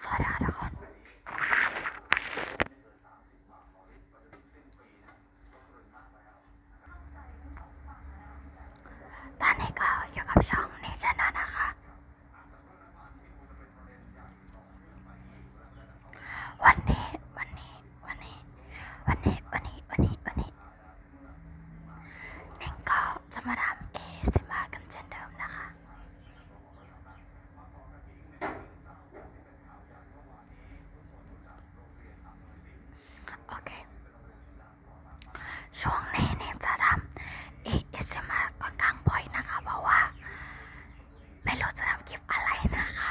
สวัสดีค่ะทุกคนตอนนี้ก็อยู่กับช่องนิชนะนะคะ วันนี้วันนี้วันนี้วันนี้วันนี้วันนี้วันนี้หนิงก็จะมาทำเอซิมากันเช่นเดิมนะคะ โอเค ช่วงนี้เนี่ยจะทำเอซิมาค่อนข้างบ่อยนะคะ เพราะว่า ไม่รู้จะทำคลิปอะไรนะคะ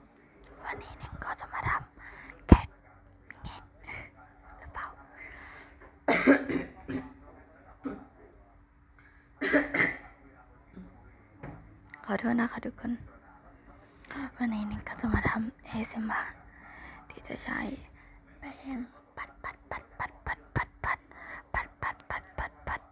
วันนี้นึงก็จะมาทำแกะแงะหรือเปล่า ขอโทษนะคะทุกคน วันนี้นึงก็จะมาทำ เอซิมาที่จะใช้แป้งปัดปัดปัดปัดปัดปัดปัดปัดปัดปัดปัดปัด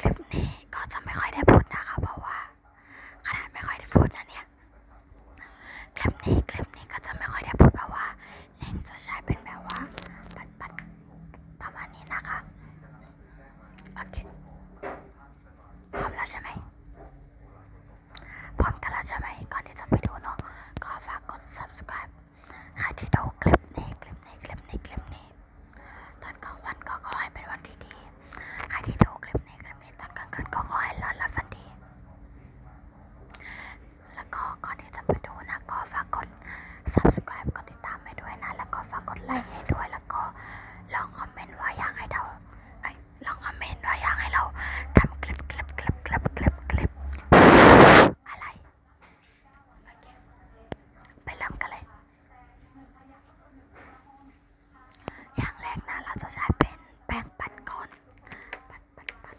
คลิปนี้ก็จะไม่ค่อยได้พูดนะคะ เพราะว่าขนาดไม่ค่อยได้พูดนะเนี่ยคลิปนี้คลิปนี้ก็จะไม่ค่อยได้พูดเพราะว่าเล่งจะใช้เป็นแบบว่าปัดปัดประมาณนี้นะคะโอเคพร้อมแล้วใช่ไหมพร้อมกันแล้วใช่ไหมก่อนที่จะไปดูเนาะก็ฝากกด subscribe ใครที่ดูคลิปนี้คลิปนี้คลิปนี้คลิปนี้ตอนกลางวันก็ขอให้เป็นวันที่ดีใครที่ดูคลิปนี้คลิปนี้ตอนกลางคืนก็ขอให้ร้อนและฝันดีแล้วก็ก่อนที่จะไปดูนะก็ฝากกด subscribe กดติดตามให้ด้วยนะ แล้วก็ฝากกดไลค์ให้ด้วยแล้วก็ลองคอมเมนต์ว่าอยากให้เราลองคอมเมนต์ว่าอยากให้เราทำคลิปคลิปคลิปคลิปคลิปคลิปอะไรโอเคไปเริ่มกันเลย อย่างแรกนะเราจะใช้เป็นแป้งปั่นก่อนปั่นปั่นปั่น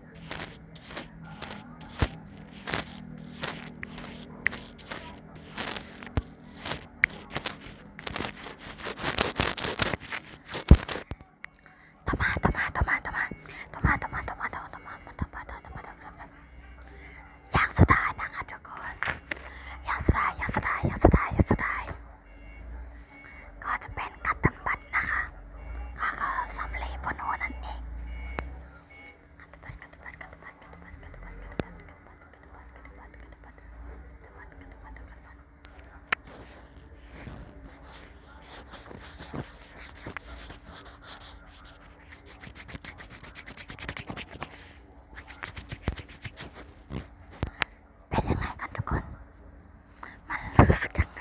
ต่อมาต่อมาต่อมาต่อมาต่อมาต่อมาต่อมาต่อมาต่อมาต่อมาต่อมาต่อมาต่อมาอย่างสุดท้ายนะคะทุกคนอย่างสุดท้ายอย่างสุดท้ายอย่างสุดท้ายอย่างสุดท้ายก็จะเป็นกัตตัมบัตดนะคะค่ะก็สำลีบนหัวนั่นเองเป็นยังไงกันทุกคนมันรู้สึกยังไง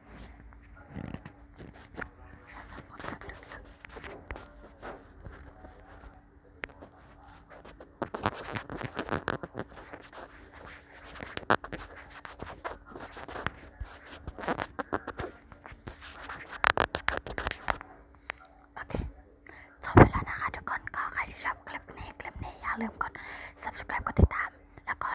โอเคจบไปแล้วนะคะทุกคนก็ใครที่ชอบคลิปนี้คลิปนี้อย่าลืมกด subscribe กดติดตามแล้วก็